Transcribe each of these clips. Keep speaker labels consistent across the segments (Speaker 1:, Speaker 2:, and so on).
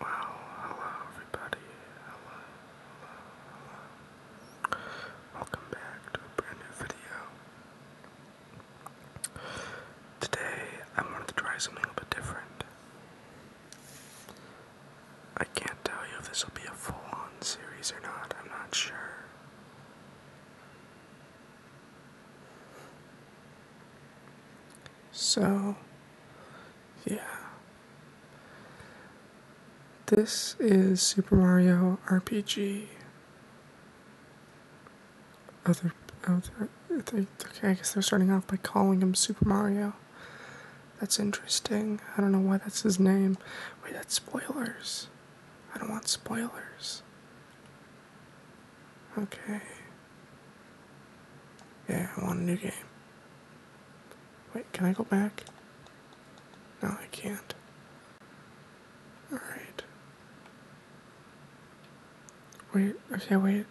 Speaker 1: Well, hello everybody. Hello, hello, hello. Welcome back to a brand new video. Today I wanted to try something a bit different. I can't tell you if this will be a full on series or not, I'm not sure. So, yeah. This is Super Mario RPG. Other, other okay, I guess they're starting off by calling him Super Mario. That's interesting. I don't know why that's his name. Wait, that's spoilers. I don't want spoilers. Okay. Yeah, I want a new game. Wait, can I go back? No, I can't. Alright. Wait, okay, wait.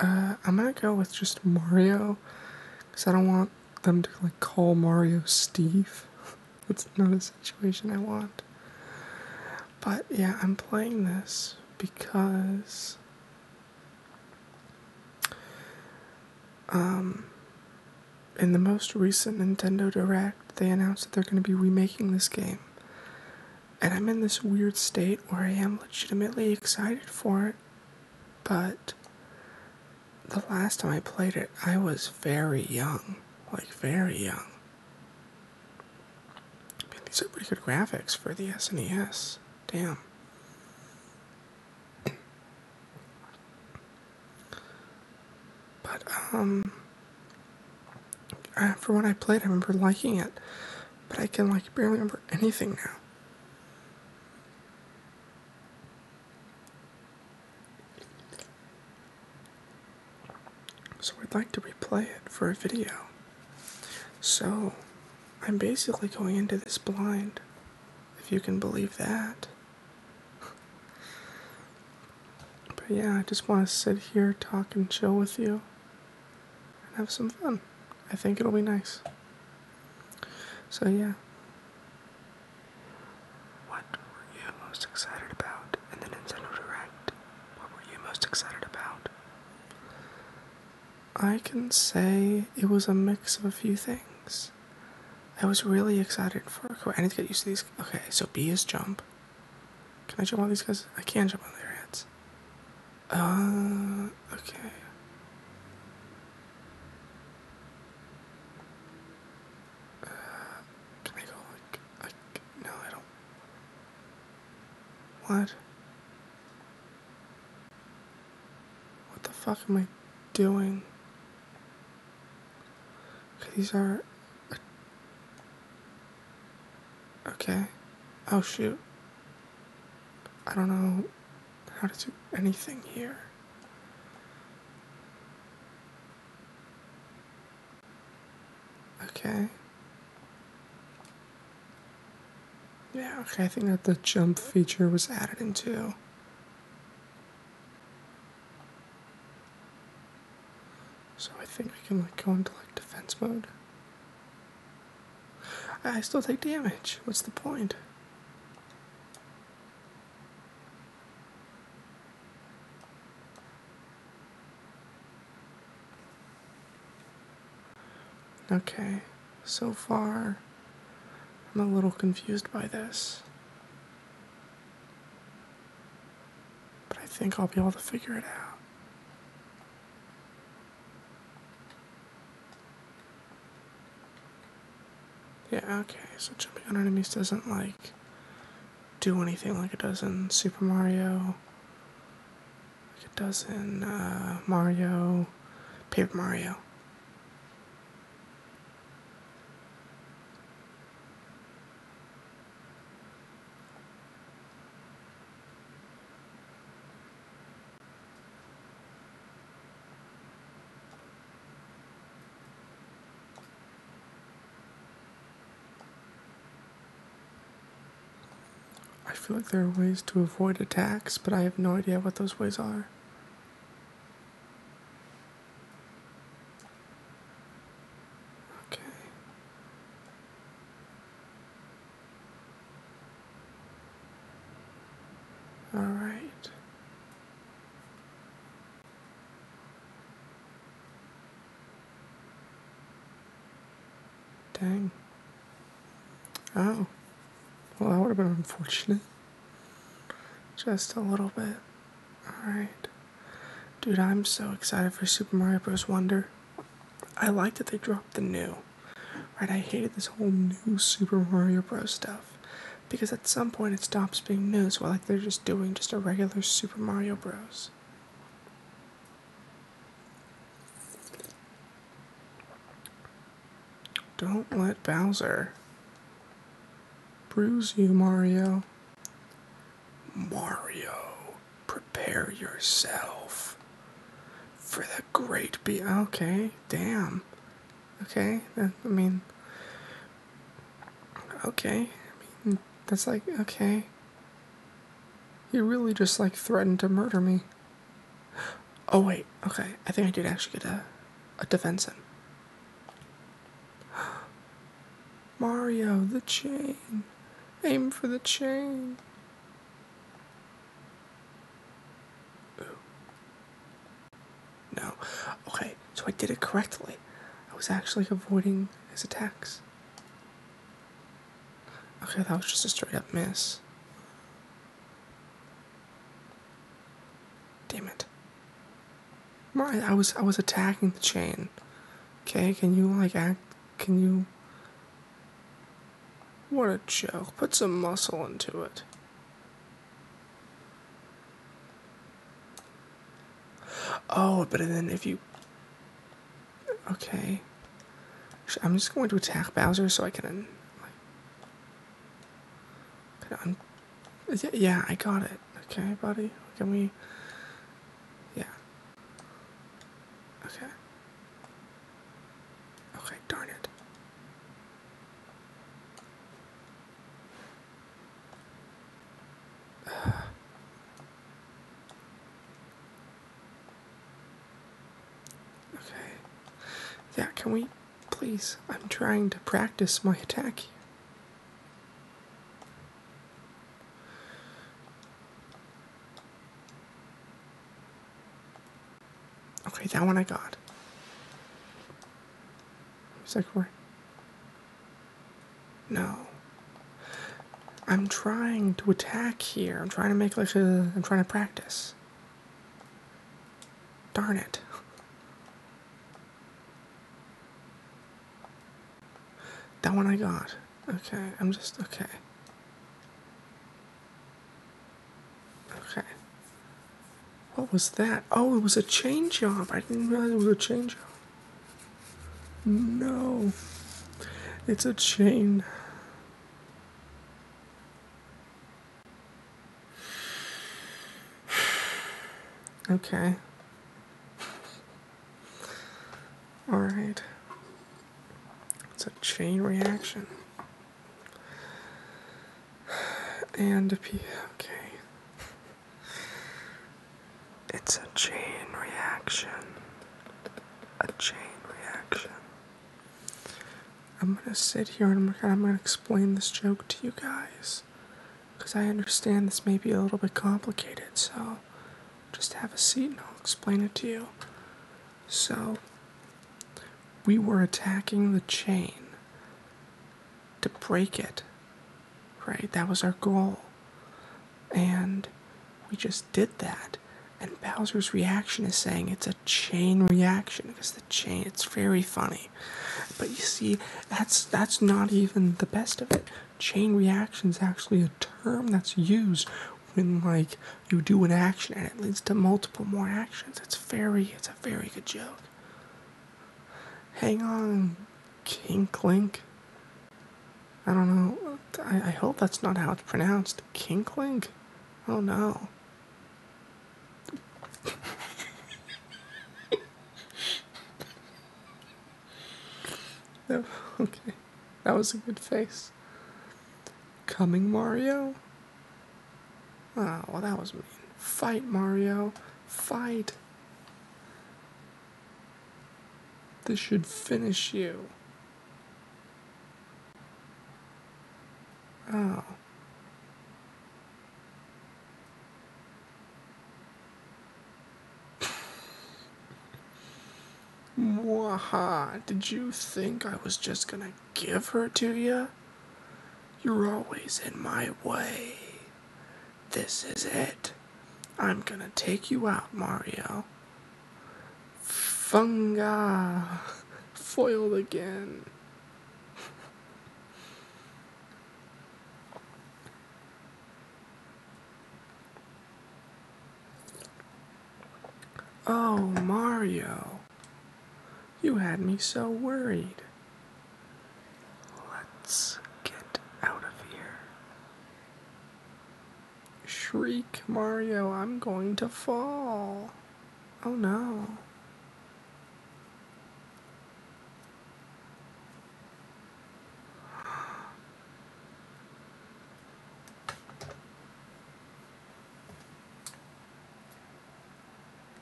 Speaker 1: Uh, I'm gonna go with just Mario, because I don't want them to, like, call Mario Steve. That's not a situation I want. But yeah, I'm playing this because um, in the most recent Nintendo Direct, they announced that they're going to be remaking this game. And I'm in this weird state where I am legitimately excited for it, but the last time I played it, I was very young. Like, very young. Man, these are pretty good graphics for the SNES. Damn. But, um, for when I played, I remember liking it, but I can, like, barely remember anything now. So I'd like to replay it for a video. So I'm basically going into this blind, if you can believe that. But yeah, I just want to sit here, talk, and chill with you and have some fun. I think it'll be nice. So yeah. What were you most excited about in the Nintendo Direct? What were you most excited about? I can say it was a mix of a few things. I was really excited for. I need to get used to these. Okay, so B is jump. Can I jump on these guys? I can jump on their heads. Uh, okay. Uh, can I go like, like? No, I don't. What? What the fuck am I doing? these are. Okay. Oh shoot. I don't know how to do anything here. Okay. Yeah, okay, I think that the jump feature was added into. So I think we can like go into like defense mode. I still take damage. What's the point? Okay, so far, I'm a little confused by this. But I think I'll be able to figure it out. Yeah, okay, so jumping on enemies doesn't, like, do anything like it does in Super Mario like it does in uh, Mario, Paper Mario. I feel like there are ways to avoid attacks, but I have no idea what those ways are. Okay. All right. Dang. Oh. Well, that would have been unfortunate. Just a little bit. Alright. Dude, I'm so excited for Super Mario Bros. Wonder. I like that they dropped the new. Right, I hated this whole new Super Mario Bros. stuff. Because at some point it stops being new, so like they're just doing just a regular Super Mario Bros. Don't let Bowser bruise you, Mario. Mario, prepare yourself for the great be. Okay, damn. Okay, I mean, okay. that's like, okay. He really just like threatened to murder me. Oh wait, okay. I think I did actually get a a defense in. Mario, the chain. Aim for the chain. No. Okay, so I did it correctly. I was actually avoiding his attacks. Okay, that was just a straight up miss. Damn it. Right, I was I was attacking the chain. Okay, can you like act can you What a joke. Put some muscle into it. Oh, but then if you Okay. I'm just going to attack Bowser so I can. Like, yeah, I got it. Okay, buddy. Can we? Yeah. Okay. Okay. Darn it. Okay. Yeah, can we please? I'm trying to practice my attack Okay, that one I got. Who's that for? No. I'm trying to attack here. I'm trying to make like a. I'm trying to practice. Darn it. That one I got. Okay, I'm just. Okay. Okay. What was that? Oh, it was a chain job. I didn't realize it was a chain job. No. It's a chain. Okay. All right. It's a chain reaction. And a P. Okay. It's a chain reaction. A chain reaction. I'm gonna sit here and I'm, gonna explain this joke to you guys because I understand this may be a little bit complicated, so just have a seat and I'll explain it to you. So, we were attacking the chain to break it, right? That was our goal, and we just did that. And Bowser's reaction is saying it's a chain reaction because the chain it's very funny. But you see, that's that's not even the best of it. Chain reaction is actually a term that's used when like you do an action and it leads to multiple more actions. It's very it's a very good joke. Hang on, Kink Link. I don't know. I, I hope that's not how it's pronounced. Kinkling? Oh no. no. Oh, okay. That was a good face. Coming Mario? Oh, well, that was mean. Fight, Mario. Fight. This should finish you. Oh. Mwaha, did you think I was just gonna give her to you? You're always in my way. This is it. I'm gonna take you out, Mario. Funga foiled again. Oh, Mario. You had me so worried. Let's get out of here. Shriek, Mario, I'm going to fall. Oh no.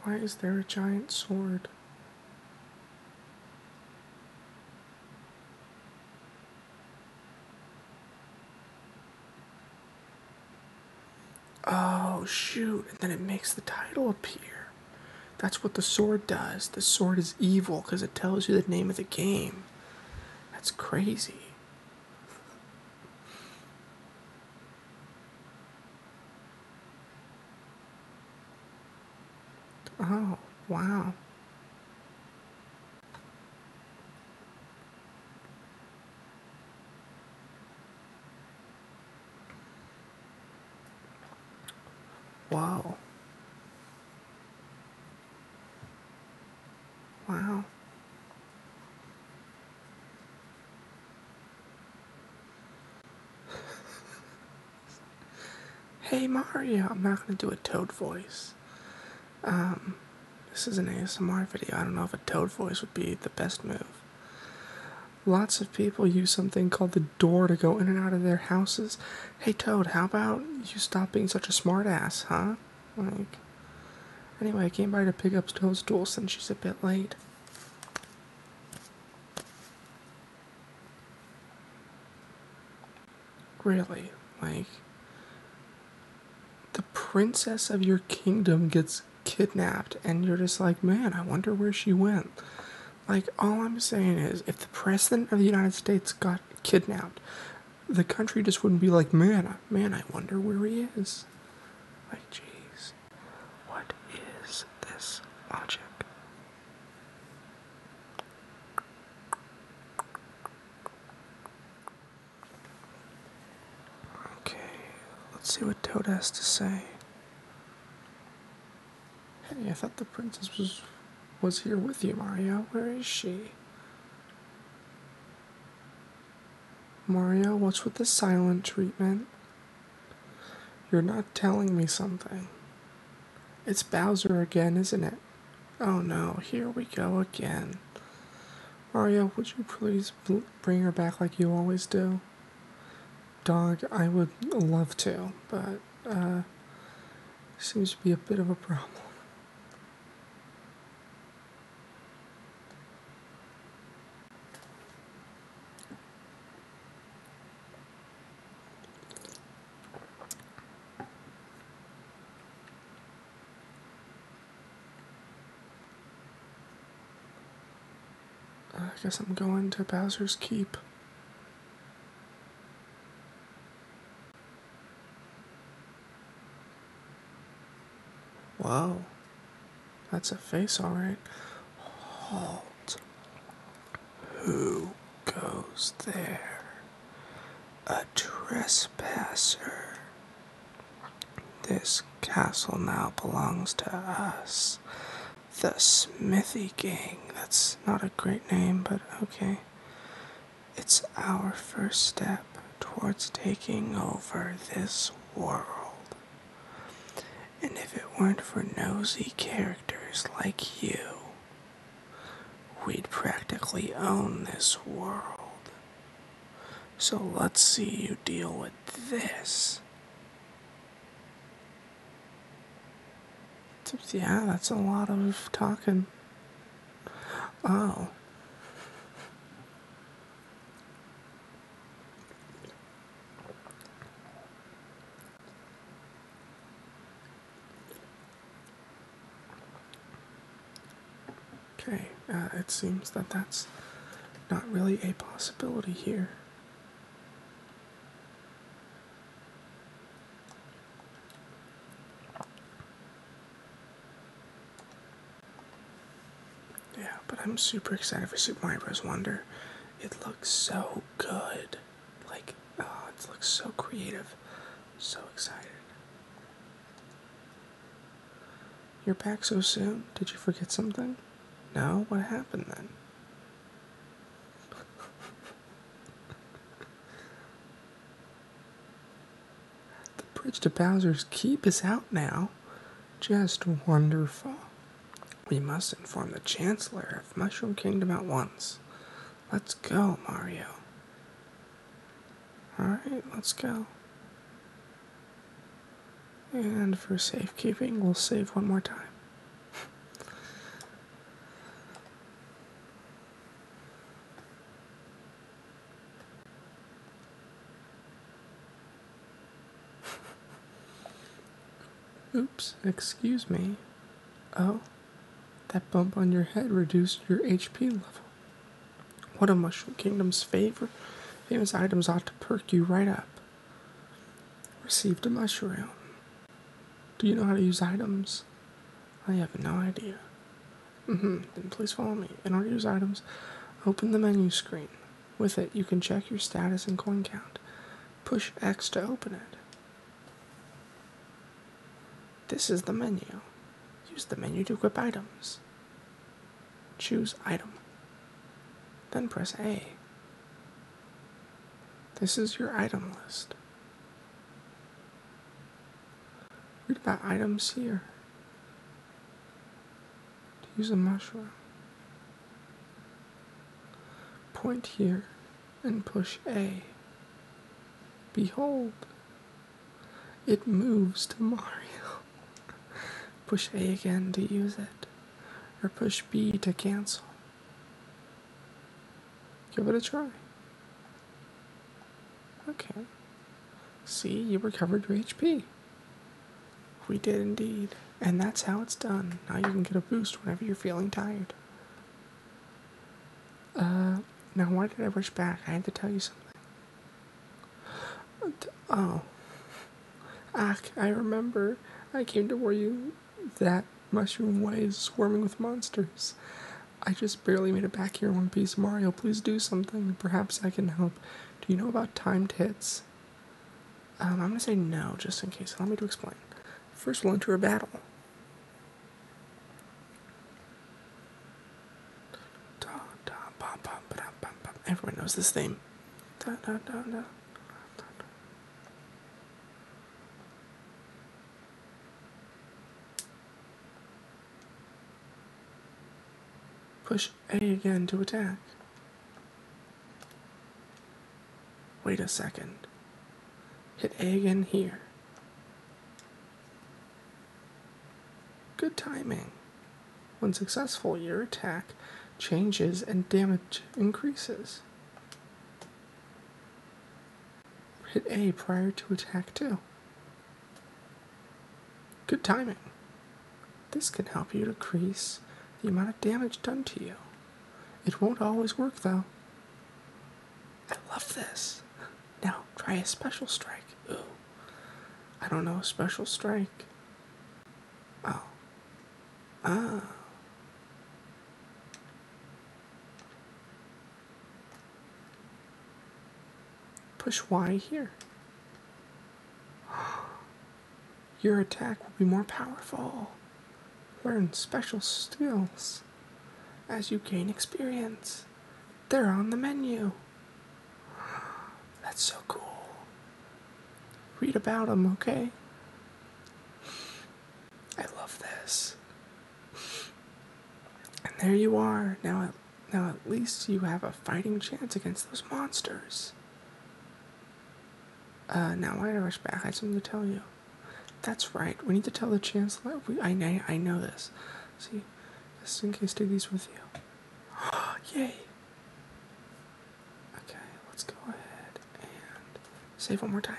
Speaker 1: Why is there a giant sword? Oh, shoot. And then it makes the title appear. That's what the sword does. The sword is evil because it tells you the name of the game. That's crazy. Oh, wow. Wow. Wow. hey Mario, I'm not gonna do a toad voice. Um, this. is an ASMR video. I don't know if a toad voice would be the best move. Lots of people use something called the door to go in and out of their houses. Hey Toad, how about you stop being such a smartass, huh? Like, anyway, I came by to pick up Toad's tool since she's a bit late. Really, like, the princess of your kingdom gets kidnapped and you're just like man i wonder where she went like all i'm saying is if the president of the united states got kidnapped the country just wouldn't be like man man i wonder where he is like jeez what is this logic Okay, let's see what Toad has to say. Hey, I thought the princess was was here with you, Mario. Where is she? Mario, what's with the silent treatment? You're not telling me something. It's Bowser again, isn't it? Oh no, here we go again. Arya, would you please bring her back like you always do? Dog, I would love to, but uh, seems to be a bit of a problem. I guess I'm going to Bowser's Keep. Wow. That's a face, alright. Halt. Who goes there? A trespasser this castle now belongs to us. The Smithy Gang. That's not a great name, but okay. It's our first step towards taking over this world. And if it weren't for nosy characters like you, we'd practically own this world. So let's see you deal with this. Yeah, that's a lot of talking. Oh. Okay, uh, it seems that that's not really a possibility here. Yeah, but I'm super excited for Super Mario Bros. Wonder. It looks so good. Like, oh, it looks so creative. So excited. You're back so soon? Did you forget something? No? What happened then? the bridge to Bowser's Keep is out now. Just wonderful. We must inform the Chancellor of Mushroom Kingdom at once. Let's go, Mario. Alright, let's go. And for safekeeping, we'll save one more time. Oops, excuse me. Oh, that bump on your head reduced your HP level. What a Mushroom Kingdom's favorite famous items ought to perk you right up. Received a mushroom. Do you know how to use items? I have no idea. Mm-hmm. Then please follow me. In order to use items, open the menu screen. With it, you can check your status and coin count. Push X to open it. This is the menu. Use the menu to equip items. Choose item. Then press A. This is your item list. Read about items here. To use a mushroom. Point here and push A. Behold, it moves to Mario. Push A again to use it, or push B to cancel. Give it a try. Okay. See, you recovered your HP. We did indeed. And that's how it's done. Now you can get a boost whenever you're feeling tired. Uh, now why did I rush back? I had to tell you something. Oh. Ack, I remember. I came to warn you that Mushroom Way is swarming with monsters. I just barely made it back here one piece. Mario, please do something. Perhaps I can help. Do you know about timed hits? Um, I'm gonna say no, just in case. Allow me to explain. First, we'll enter a battle. Everyone knows this theme. Push A again to attack. Wait a second. Hit A again here. Good timing. When successful, your attack changes and damage increases. Hit A prior to attack 2. Good timing. This can help you decrease the amount of damage done to you. It won't always work though. I love this. Now try a special strike. I don't know. Special strike. Oh. Ah. Push Y here. Your attack will be more powerful. Learn special skills as you gain experience. They're on the menu. That's so cool. Read about them, okay? I love this. And there you are. Now at, now at least you have a fighting chance against those monsters. Uh, now why did I rush back? I have something to tell you. That's right. We need to tell the Chancellor. I, I, I know this. See, just in case, take these with you. Yay! Okay, let's go ahead and save one more time.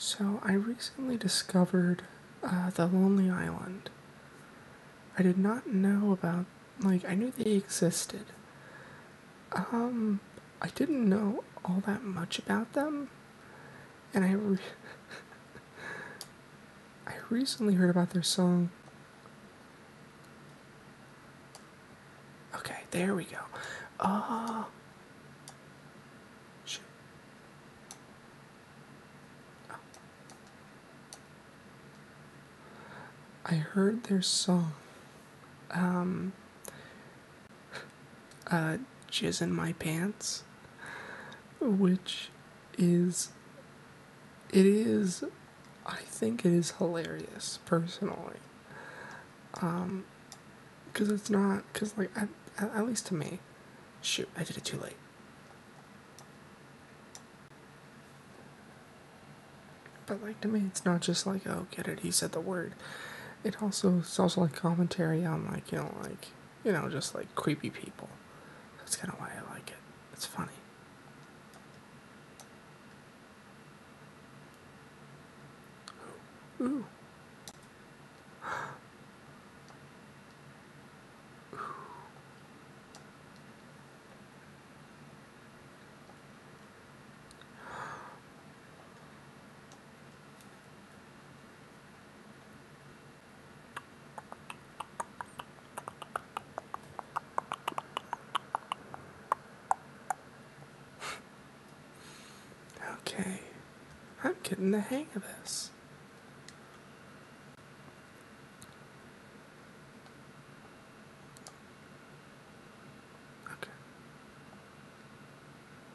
Speaker 1: so, I recently discovered uh, the Lonely Island. I did not know about, like, I knew they existed. Um, I didn't know all that much about them and I I recently heard about their song. Okay, there we go. Ah. Oh. I heard their song. Um uh, Jizz in My Pants, which is. It is. I think it is hilarious, personally. Um, because it's not. Because, like, I, at least to me. Shoot, I did it too late. But, like, to me, it's not just like, oh, get it, he said the word. It also it's also like commentary on like you know like you know just like creepy people. That's kind of why I like it. It's funny okay, I'm getting the hang of this.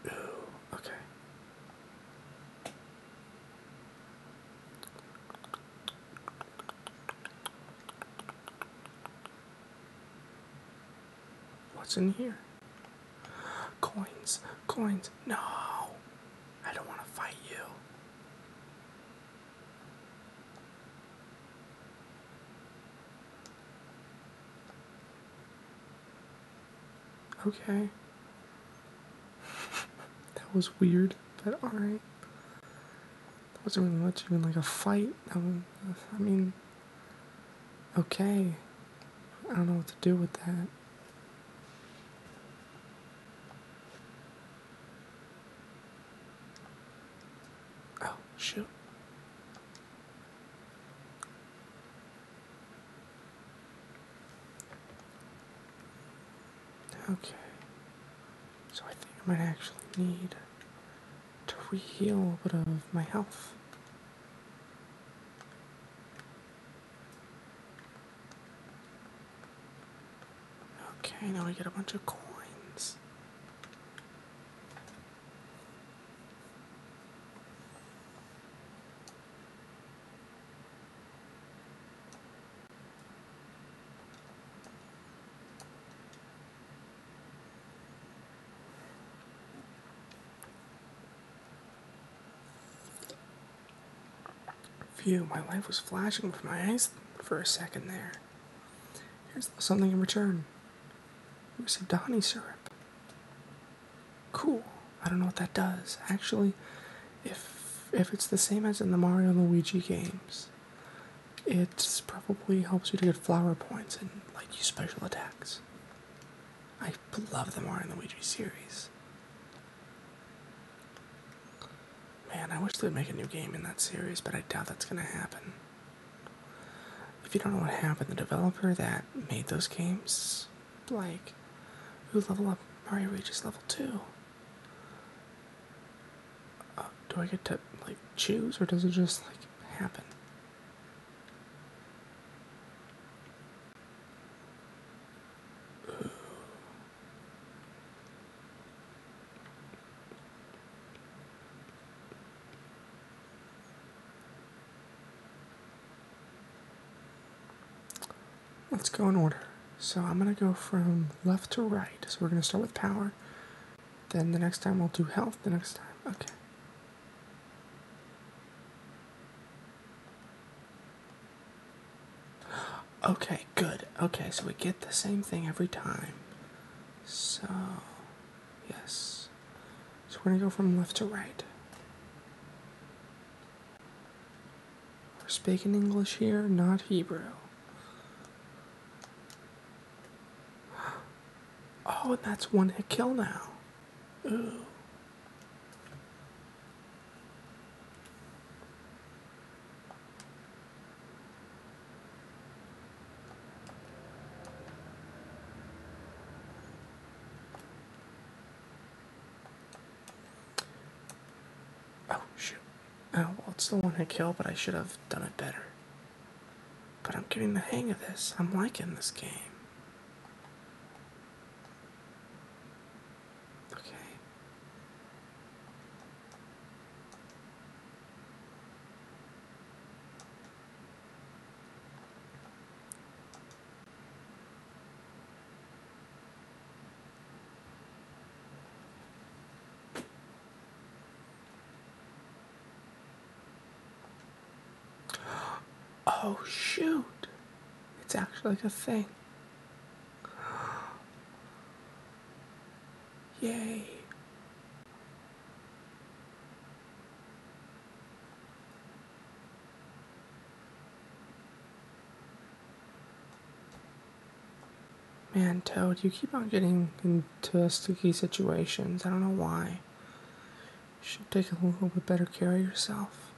Speaker 1: Okay. Ooh. Okay. What's in here? Coins, coins. No, I don't want to fight you. Okay. that was weird, but alright. That wasn't really much even like a fight. I mean, okay. I don't know what to do with that. Oh, shoot. Okay. So I think I might actually need to re-heal a bit of my health. Okay, now I get a bunch of coins. Phew, my life was flashing before my eyes for a second there. Here's something in return. Here's a Donny syrup. Cool. I don't know what that does. Actually, if if it's the same as in the Mario Luigi games, it probably helps you to get flower points and like use special attacks. I love the Mario and Luigi series. Man, I wish they'd make a new game in that series, but I doubt that's gonna happen. If you don't know what happened, the developer that made those games like, Who level up? Mario reaches level two. Uh, do I get to like choose, or does it just like happen? Let's go in order. So I'm going to go from left to right. So we're going to start with power. Then the next time we'll do health. The next time. Okay. Okay, good. Okay, so we get the same thing every time. So, yes. So we're going to go from left to right. We're speaking English here, not Hebrew. Oh, and that's one hit kill now. Ooh. Oh, shoot. Oh, well, it's the one hit kill, but I should have done it better. But I'm getting the hang of this. I'm liking this game. Okay. Oh shoot! It's actually a thing. Yay! Man, Toad, you keep on getting into sticky situations. I don't know why. You should take a little bit better care of yourself.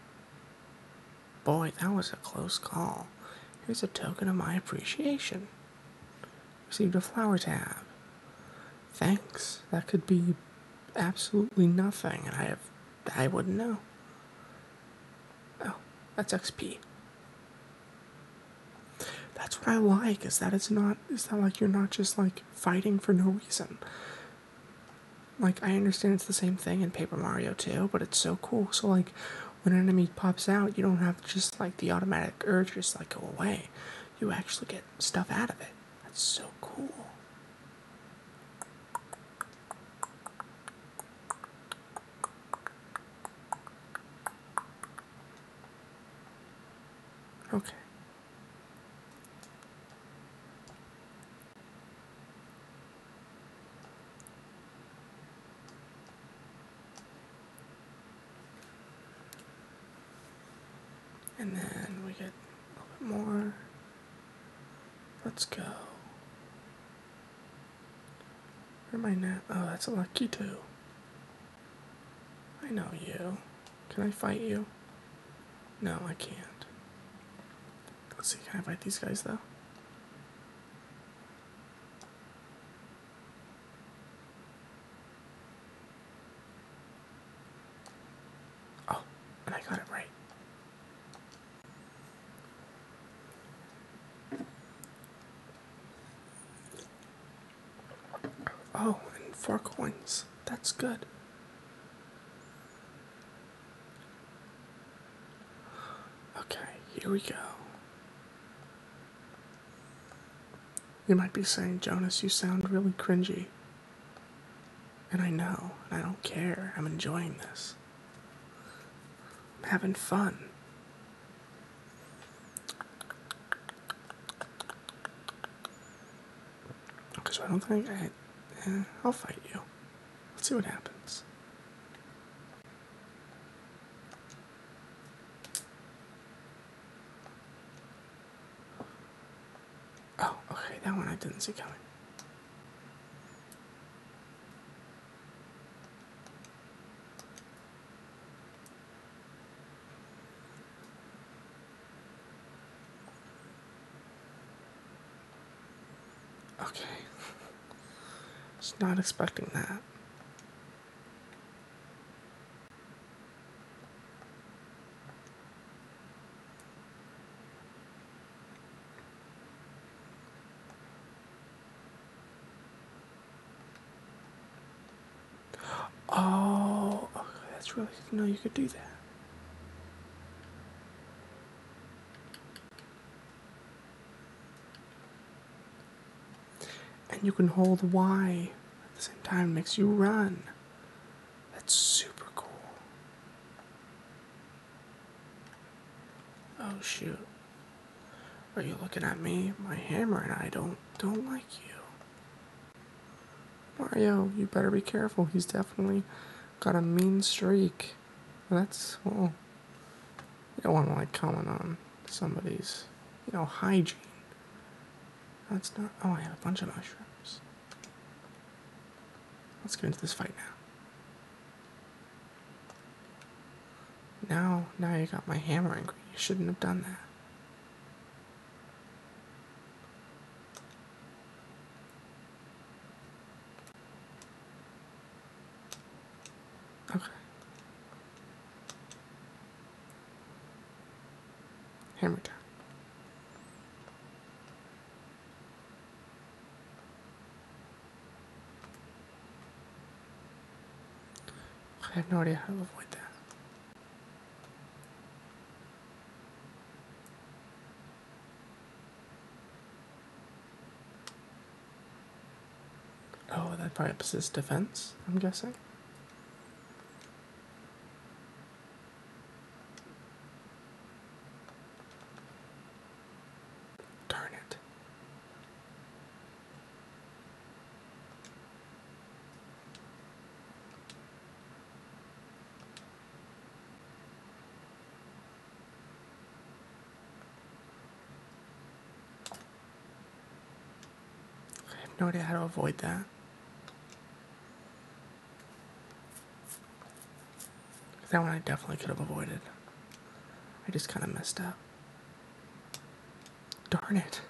Speaker 1: Boy, that was a close call. Here's a token of my appreciation. Received a flower tab. Thanks. That could be absolutely nothing, and I have I wouldn't know. Oh, that's XP. That's what I like, is that it's not is that like you're not just like fighting for no reason. Like I understand it's the same thing in Paper Mario too, but it's so cool. So like when an enemy pops out, you don't have just like the automatic urge just like go away. You actually get stuff out of it. That's so cool. Okay. And then we get a bit more. Let's go. Where am I now? Oh, that's a lucky two. I know you. Can I fight you? No, I can't. Let's see, can I fight these guys though? Oh, and I got it right. Oh, and four coins. That's good. Okay, here we go. You might be saying, Jonas, you sound really cringy. And I know, and I don't care. I'm enjoying this. I'm having fun. Because I don't think I. Eh, I'll fight you. Let's see what happens. Oh, okay, that one I didn't see coming. Okay. was not expecting that. Oh, that's really good you could do that. And you can hold Y at the same time, makes you run. That's super cool. Oh shoot. Are you looking at me? My hammer and I don't don't like you. Mario, you better be careful. He's definitely got a mean streak. That's oh, I don't wanna like comment on somebody's you know hygiene. That's not oh I have a bunch of mushrooms. Let's get into this fight now. Now, now you got my hammer angry. You shouldn't have done that. Okay. Hammer down. I have no idea how to avoid that. Oh, that probably ups his defense, I'm guessing. Darn it. I have no idea how to avoid that. That one I definitely could have avoided. I just kind of messed up. Darn it.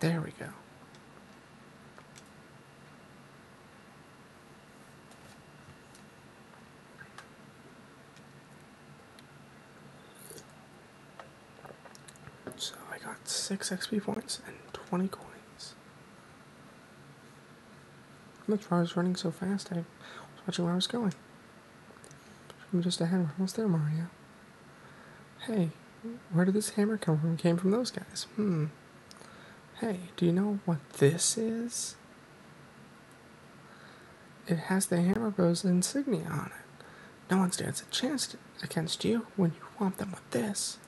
Speaker 1: There we go. So I got 6 XP points and 20 coins. That's why I was running so fast, I was watching where I was going. I'm just ahead, we're almost there, Mario. Hey, where did this hammer come from? came from those guys. Hmm. Hey, do you know what this is? It has the hammer bros insignia on it. No one stands a chance against you when you want them with this.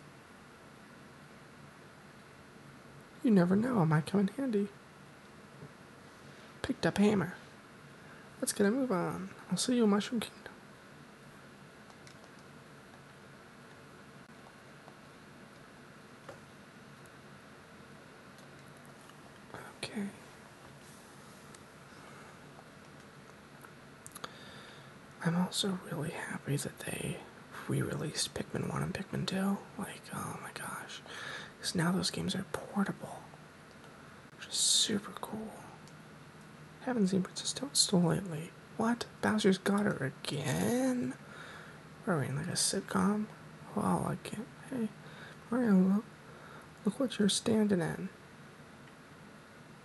Speaker 1: You never know, Am I coming handy. Picked up hammer. Let's get a move on. I'll see you in Mushroom Kingdom. Okay. I'm also really happy that they re-released Pikmin 1 and Pikmin 2. Like, oh my gosh. Because now those games are portable. Which is super cool. Haven't seen Princess Toadstool lately. What? Bowser's got her again? What are we in like a sitcom? Wow, well, I can't. Hey, Mario, look what you're standing in.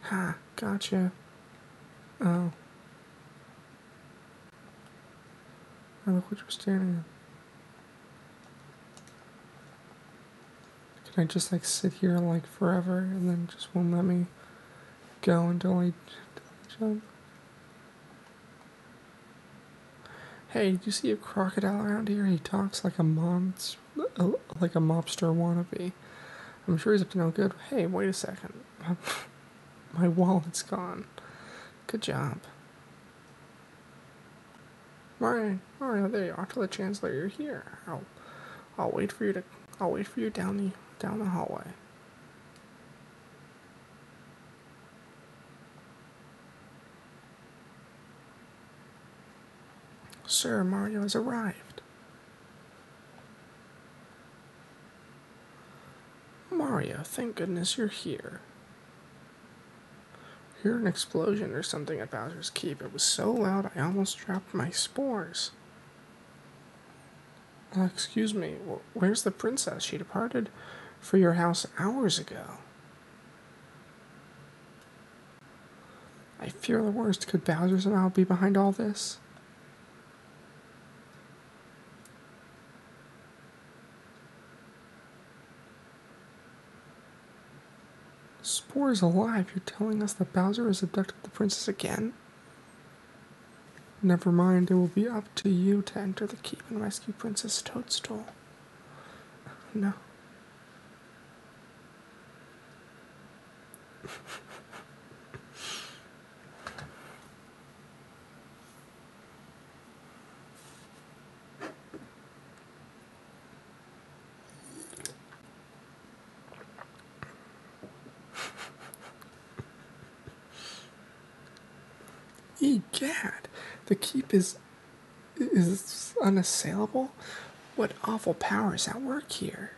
Speaker 1: Ha, gotcha. Oh. oh. look what you're standing in. Can I just like sit here like forever and then just won't let me go until I, until I jump? Hey, did you see a crocodile around here? He talks like a mom's, like a mobster wannabe. I'm sure he's up to no good. Hey, wait a second. My wallet's gone. Good job. Mario, Mario, there you are. Tell the Chancellor you're here. I'll, I'll wait for you to. I'll wait for you down the down the hallway. Sir, Mario has arrived. Mario, thank goodness you're here. I heard an explosion or something at Bowser's Keep. It was so loud I almost dropped my spores. Uh, excuse me, where's the princess? She departed for your house hours ago. I fear the worst. Could Bowser somehow be behind all this? Spore is alive. You're telling us that Bowser has abducted the princess again? Never mind, it will be up to you to enter the keep and rescue Princess Toadstool. No. Egad, the keep is is unassailable. What awful powers at work here!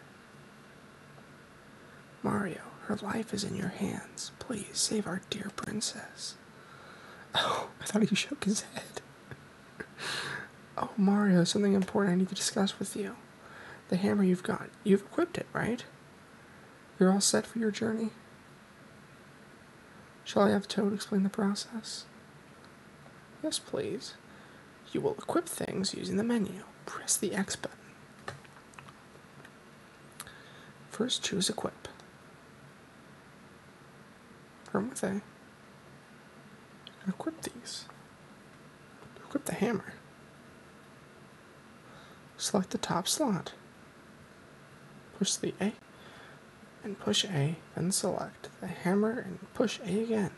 Speaker 1: Mario, her life is in your hands. Please save our dear princess. Oh, I thought he shook his head. oh, Mario, something important I need to discuss with you. The hammer you've got, you've equipped it, right? You're all set for your journey? Shall I have Toad explain the process? Yes, please. You will equip things using the menu. Press the X button. First, choose Equip. From with A. Equip these. Equip the hammer. Select the top slot. Push the A and push A, then select the hammer and push A again.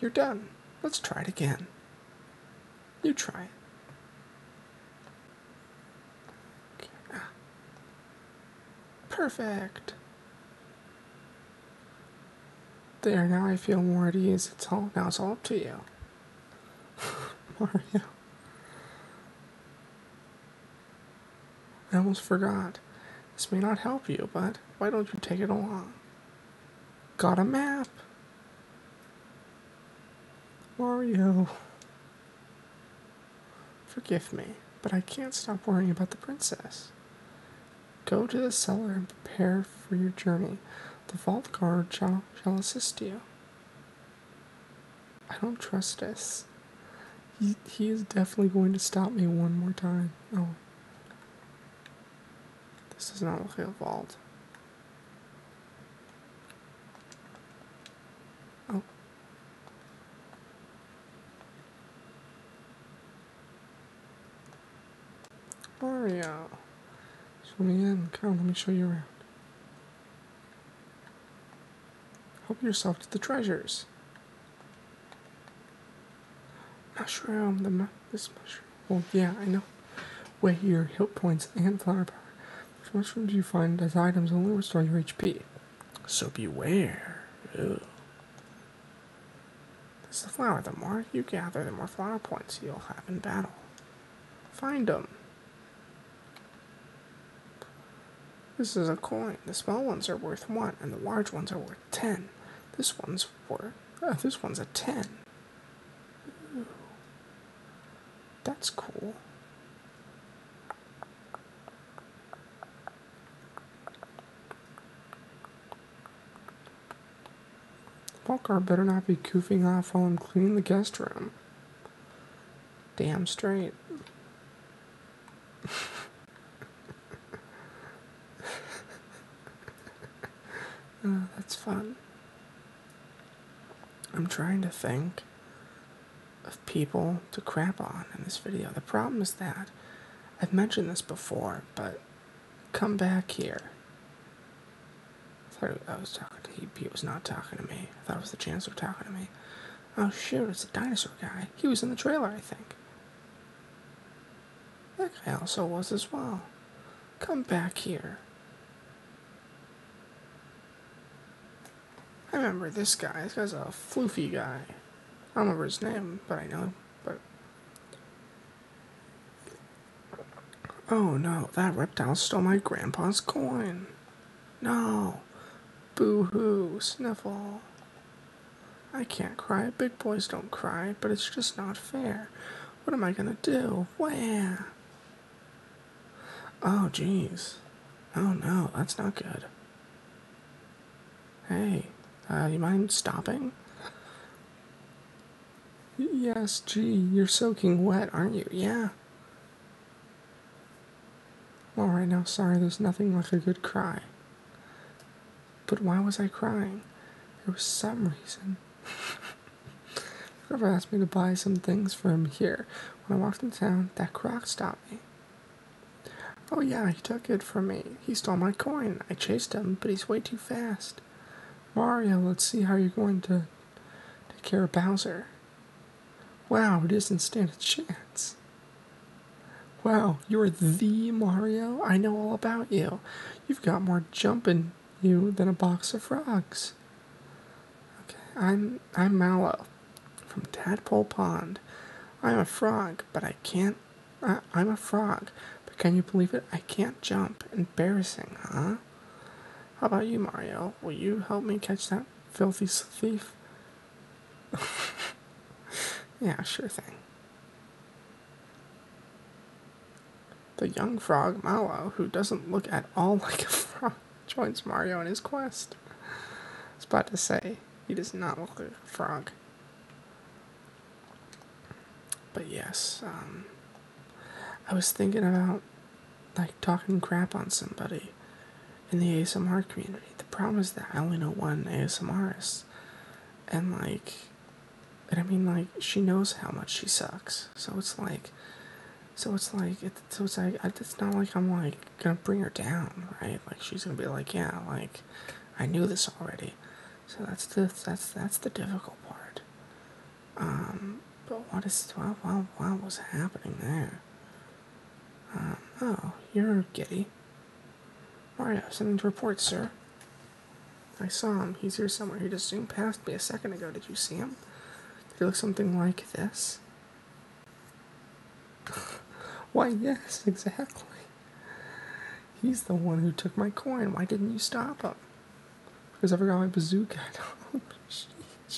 Speaker 1: You're done. Let's try it again. You try it. Perfect. There, now I feel more at ease. It's all now it's all up to you. Mario. I almost forgot. This may not help you, but why don't you take it along? Got a map. Mario. Forgive me, but I can't stop worrying about the princess. Go to the cellar and prepare for your journey. The vault guard shall, shall assist you. I don't trust this. He, he is definitely going to stop me one more time. Oh. This does not look like a vault. Oh. Mario. Show me let me show you around. Help yourself to the treasures. Mushroom, the mushroom. This mushroom. Well, yeah, I know. Weigh your hit points and flower power. Which mushrooms you find as items only restore your HP. So beware. Ew. This is the flower. The more you gather, the more flower points you'll have in battle. Find them. This is a coin. The small ones are worth one, and the large ones are worth ten. This one's worth. Uh, this one's a ten that's cool. Walker better not be goofing off while I'm cleaning the guest room. Damn straight. Oh, that's fun. I'm trying to think of people to crap on in this video. The problem is that I've mentioned this before, but come back here. I thought I was talking to he, he was not talking to me. I thought it was the chancellor talking to me. Oh shoot, it's the dinosaur guy. He was in the trailer, I think. That guy also was as well. Come back here. I remember this guy. This guy's a floofy guy. I don't remember his name, but I know But oh no, that reptile stole my grandpa's coin. No, boo hoo, sniffle. I can't cry. Big boys don't cry, but it's just not fair. What am I gonna do? Where? Oh, jeez. Oh no, that's not good. Hey, uh, you mind stopping? Yes, gee, you're soaking wet, aren't you? Yeah. All right, now, sorry, there's nothing like a good cry. But why was I crying? There was some reason. Whoever asked me to buy some things from here when I walked in town, that croc stopped me. Oh, yeah, he took it from me. He stole my coin. I chased him, but he's way too fast. Mario, let's see how you're going to take care of Bowser. Wow, it doesn't stand a chance. Wow, you're the Mario? I know all about you. You've got more jumping you than a box of frogs. Okay, I'm I'm Mallow from Tadpole Pond. I'm a frog, but I can't. I, I'm a frog, but can you believe it? I can't jump. Embarrassing, huh? How about you, Mario? Will you help me catch that filthy thief? yeah, sure thing. The young frog, Mallow, who doesn't look at all like a frog, joins Mario in his quest. I was about to say, he does not look like a frog. But yes, um, I was thinking about like talking crap on somebody in the ASMR community. The problem is that I only know one ASMRist, and like and I mean, like, she knows how much she sucks. So it's like, so it's like, it, so it's like, it's not like I'm like gonna bring her down, right? Like she's gonna be like, yeah, like, I knew this already. So that's the that's that's the difficult part. Um, but what is what what, what was happening there? Um, oh, you're giddy. Mario, something to report, sir. I saw him. He's here somewhere. He just zoomed past me a second ago. Did you see him? Did he look something like this? Why, yes, exactly. He's the one who took my coin. Why didn't you stop him? Because I forgot my bazooka. oh,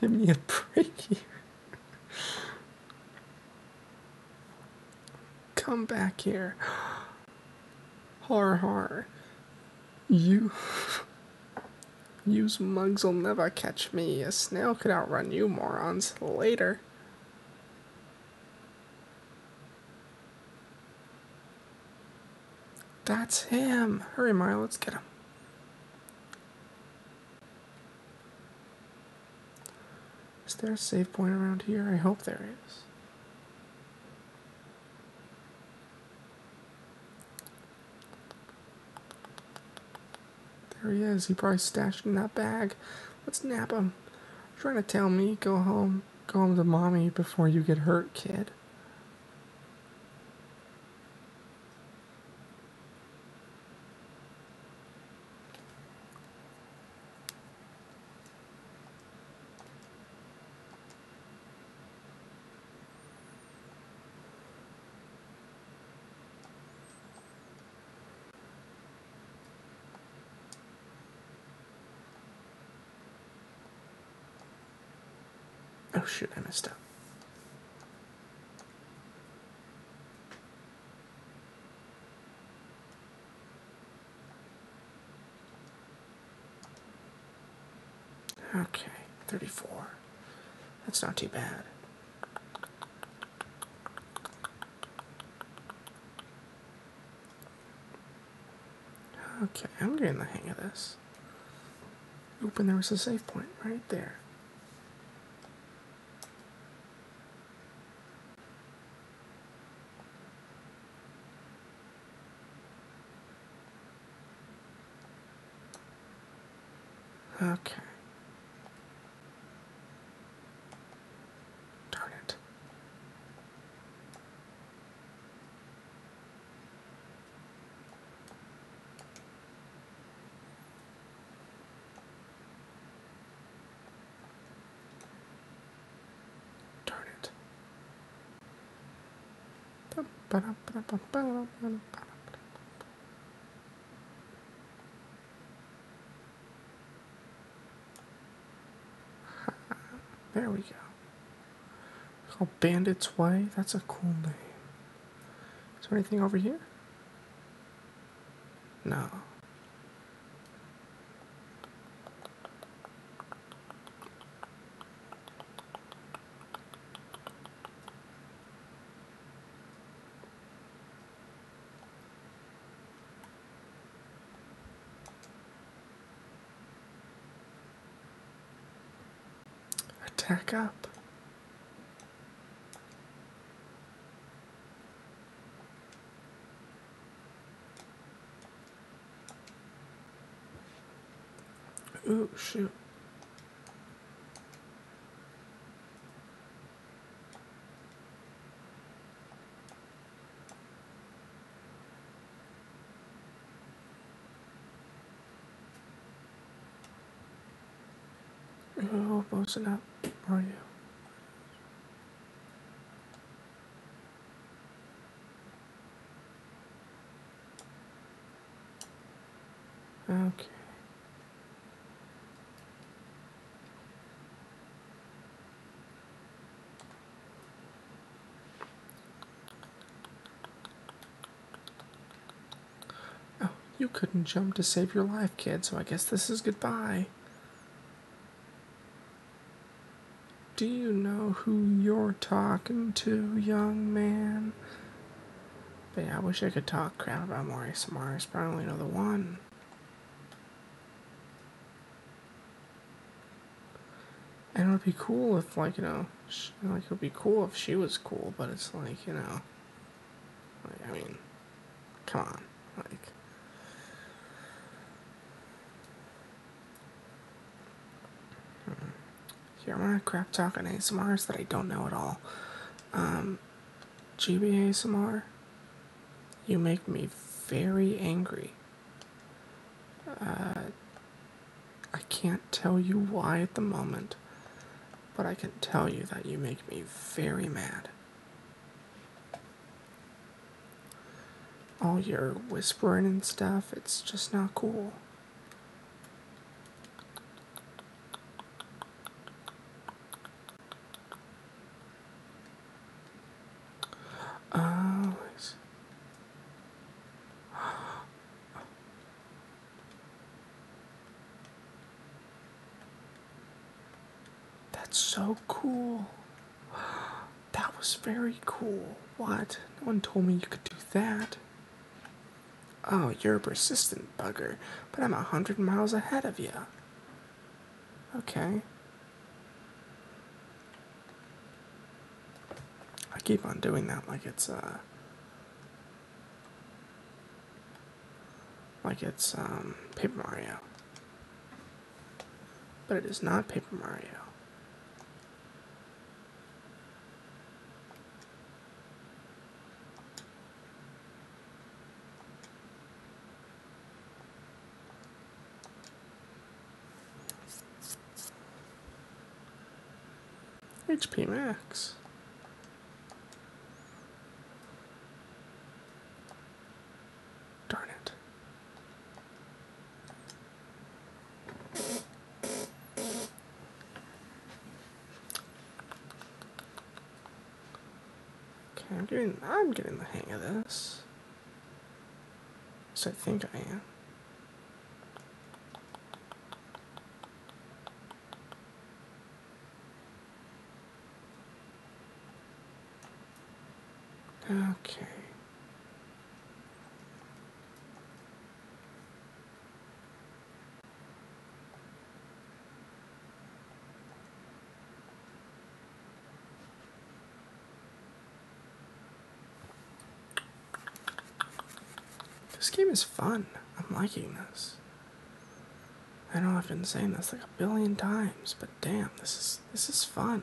Speaker 1: Give me a break here. Come back here. Har har. You. Use mugs will never catch me. A snail could outrun you morons later. That's him. Hurry, Maya, let's get him. Is there a save point around here? I hope there is. There he is. He probably stashed in that bag. Let's nab him. You're trying to tell me go home, go home to mommy before you get hurt, kid. Oh shit, I missed up. Okay, 34. That's not too bad. Okay, I'm getting the hang of this. Open, there was a save point right there. Okay. Darn it. Darn it. There we go. Called Bandit's Way. That's a cool name. Is there anything over here? No. Attack up. Oh, shoot. You're up, are you? Okay. Oh, you couldn't jump to save your life, kid, so I guess this is goodbye. Do you know who you're talking to, young man? But yeah, I wish I could talk crap about Maurice Mars, Probably I only know the one. And it would be cool if, like, you know, like, it would be cool if she was cool, but it's like, you know, like, I mean, come on, like, here, I'm gonna crap talk on ASMRs that I don't know at all. GBA um, GB ASMR, you make me very angry. Uh, I can't tell you why at the moment, but I can tell you that you make me very mad all your whispering and stuff. It's just not cool. Oh, that's so cool. That was very cool. What? No one told me you could do that. Oh, you're a persistent bugger, but I'm a hundred miles ahead of you. Okay. I keep on doing that like it's, uh. Like it's, um, Paper Mario. But it is not Paper Mario. HP Max. Darn it. Okay, I'm getting I'm getting the hang of this. So I think I am. Okay. This game is fun. I'm liking this. I know I've been saying this like a billion times, but damn, this is this is fun.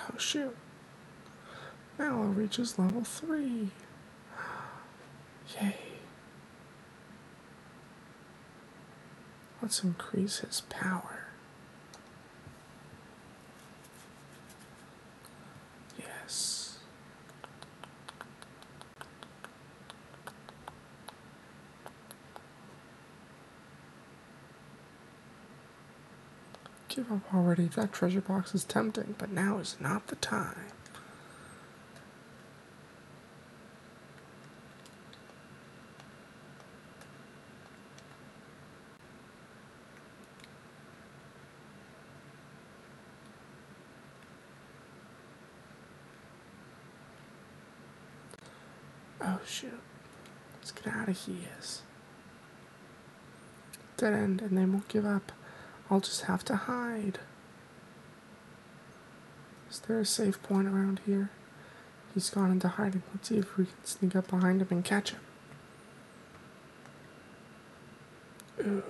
Speaker 1: Oh shoot. Now it reaches level three. Yay. Let's increase his power. Yes. Give up already. That treasure box is tempting, but now is not the time. Oh shoot. Let's get out of here. Dead end, and they won't give up. I'll just have to hide. Is there a safe point around here? He's gone into hiding. Let's see if we can sneak up behind him and catch him. Ooh.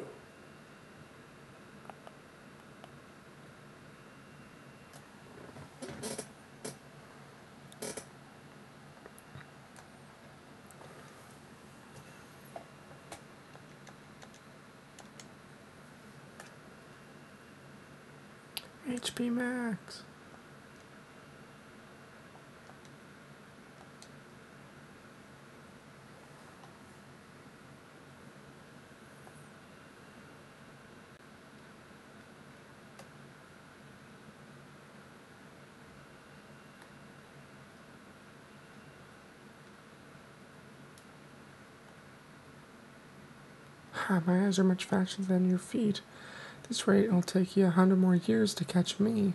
Speaker 1: HP Max my eyes are much faster than your feet. At this rate, it'll take you a hundred more years to catch me.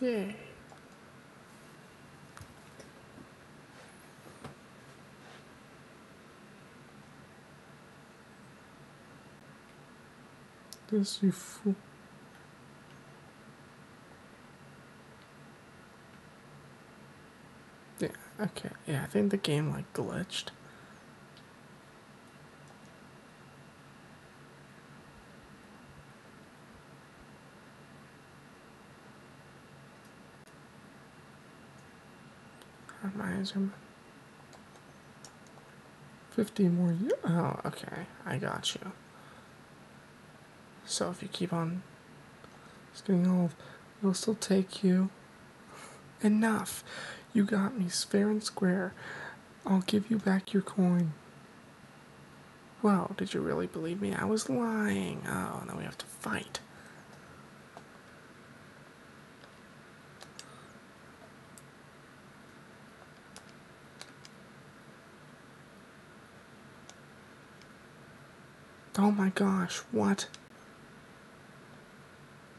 Speaker 1: yeah this yeah okay yeah I think the game like glitched how my eyes 50 more. Oh, okay. I got you. So if you keep on getting old, it'll still take you enough. You got me fair and square. I'll give you back your coin. Wow, did you really believe me? I was lying. Oh, now we have to fight. Oh my gosh, what?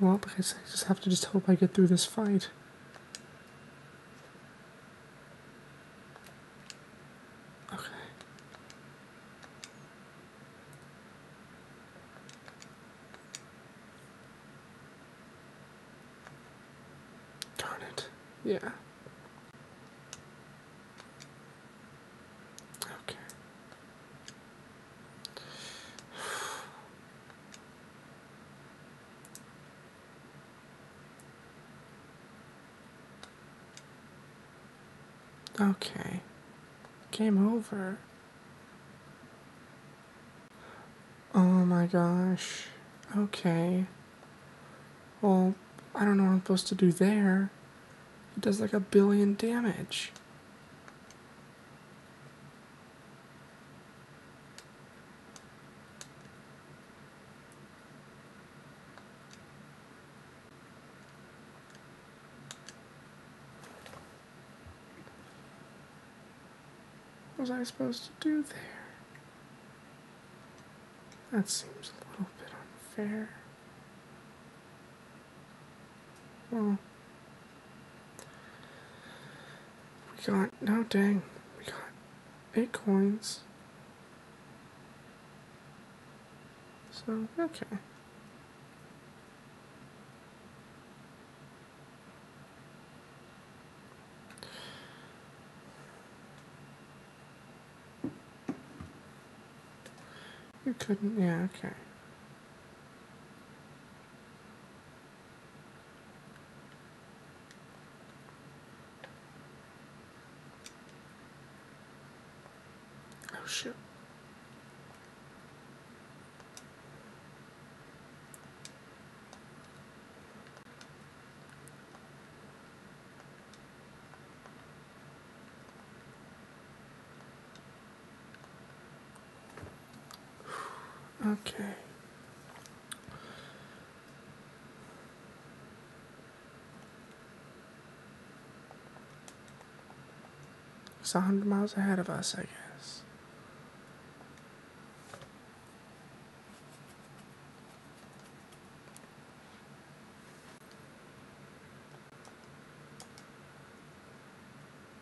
Speaker 1: Well, because I just have to just hope I get through this fight. Okay. Darn it. Yeah. Okay. Okay. Game over. Oh my gosh. Okay. Well, I don't know what I'm supposed to do there. It does like a billion damage was I supposed to do there? That seems a little bit unfair. Well, hmm. we got, no dang, we got eight coins. So, okay. You couldn't, yeah, okay. Oh shoot. Okay. It's a hundred miles ahead of us, I guess.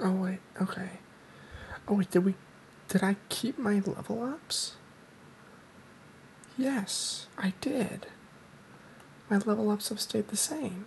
Speaker 1: Oh wait, okay. Oh wait, did we did I keep my level ups? Yes, I did. My level ups have stayed the same.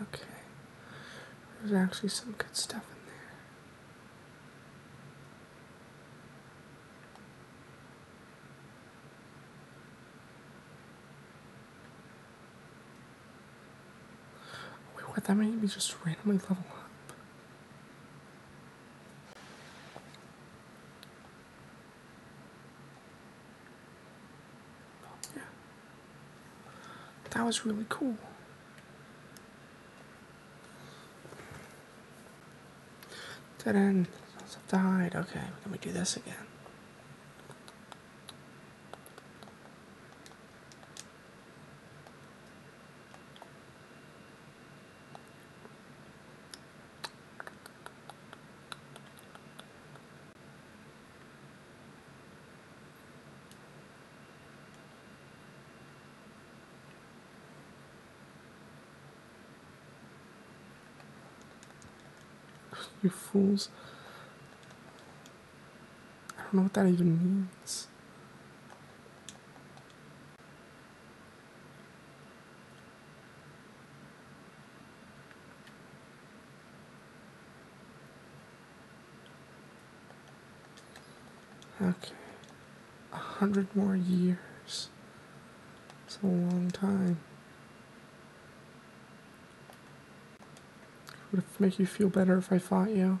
Speaker 1: Okay, there's actually some good stuff in there. Wait, what? That made me just randomly level up. That was really cool. Didn't died. Okay, let me do this again. you fools. I don't know what that even means. Okay. A hundred more years. It's a long time. Would it make you feel better if I fought you?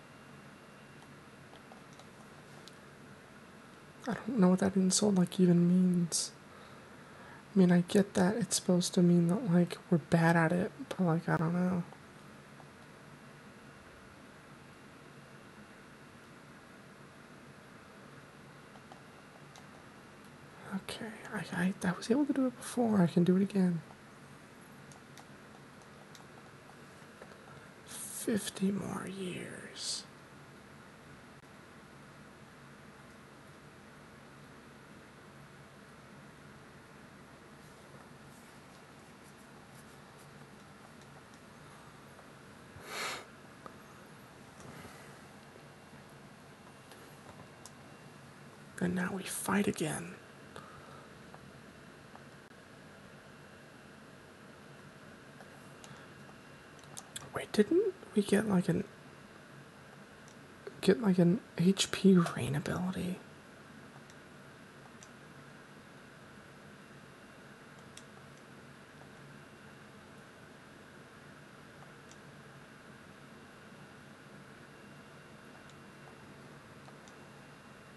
Speaker 1: I don't know what that insult like even means. I mean, I get that it's supposed to mean that like we're bad at it, but like I don't know. Okay, I, I, I was able to do it before. I can do it again. 50 more years. And now we fight again. Wait, didn't we get like an get like an HP rain ability?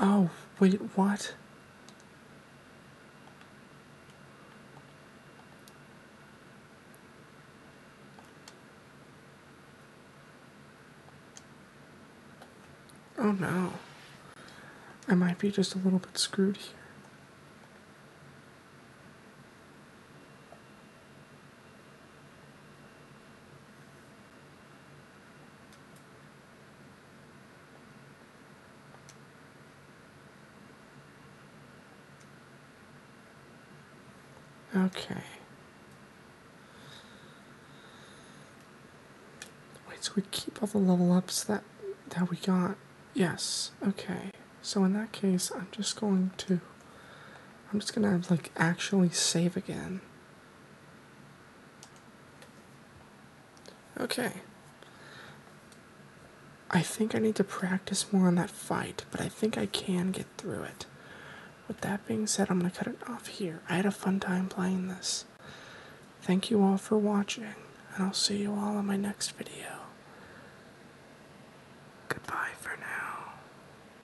Speaker 1: Oh, wait, what? Oh no. I might be just a little bit screwed here. Okay. Wait, so we keep all the level ups that that we got. Yes. Okay. So in that case, I'm just going to I'm just gonna like actually save again. Okay. I think I need to practice more on that fight, but I think I can get through it. With that being said, I'm going to cut it off here. I had a fun time playing this. Thank you all for watching, and I'll see you all in my next video. Goodbye for now.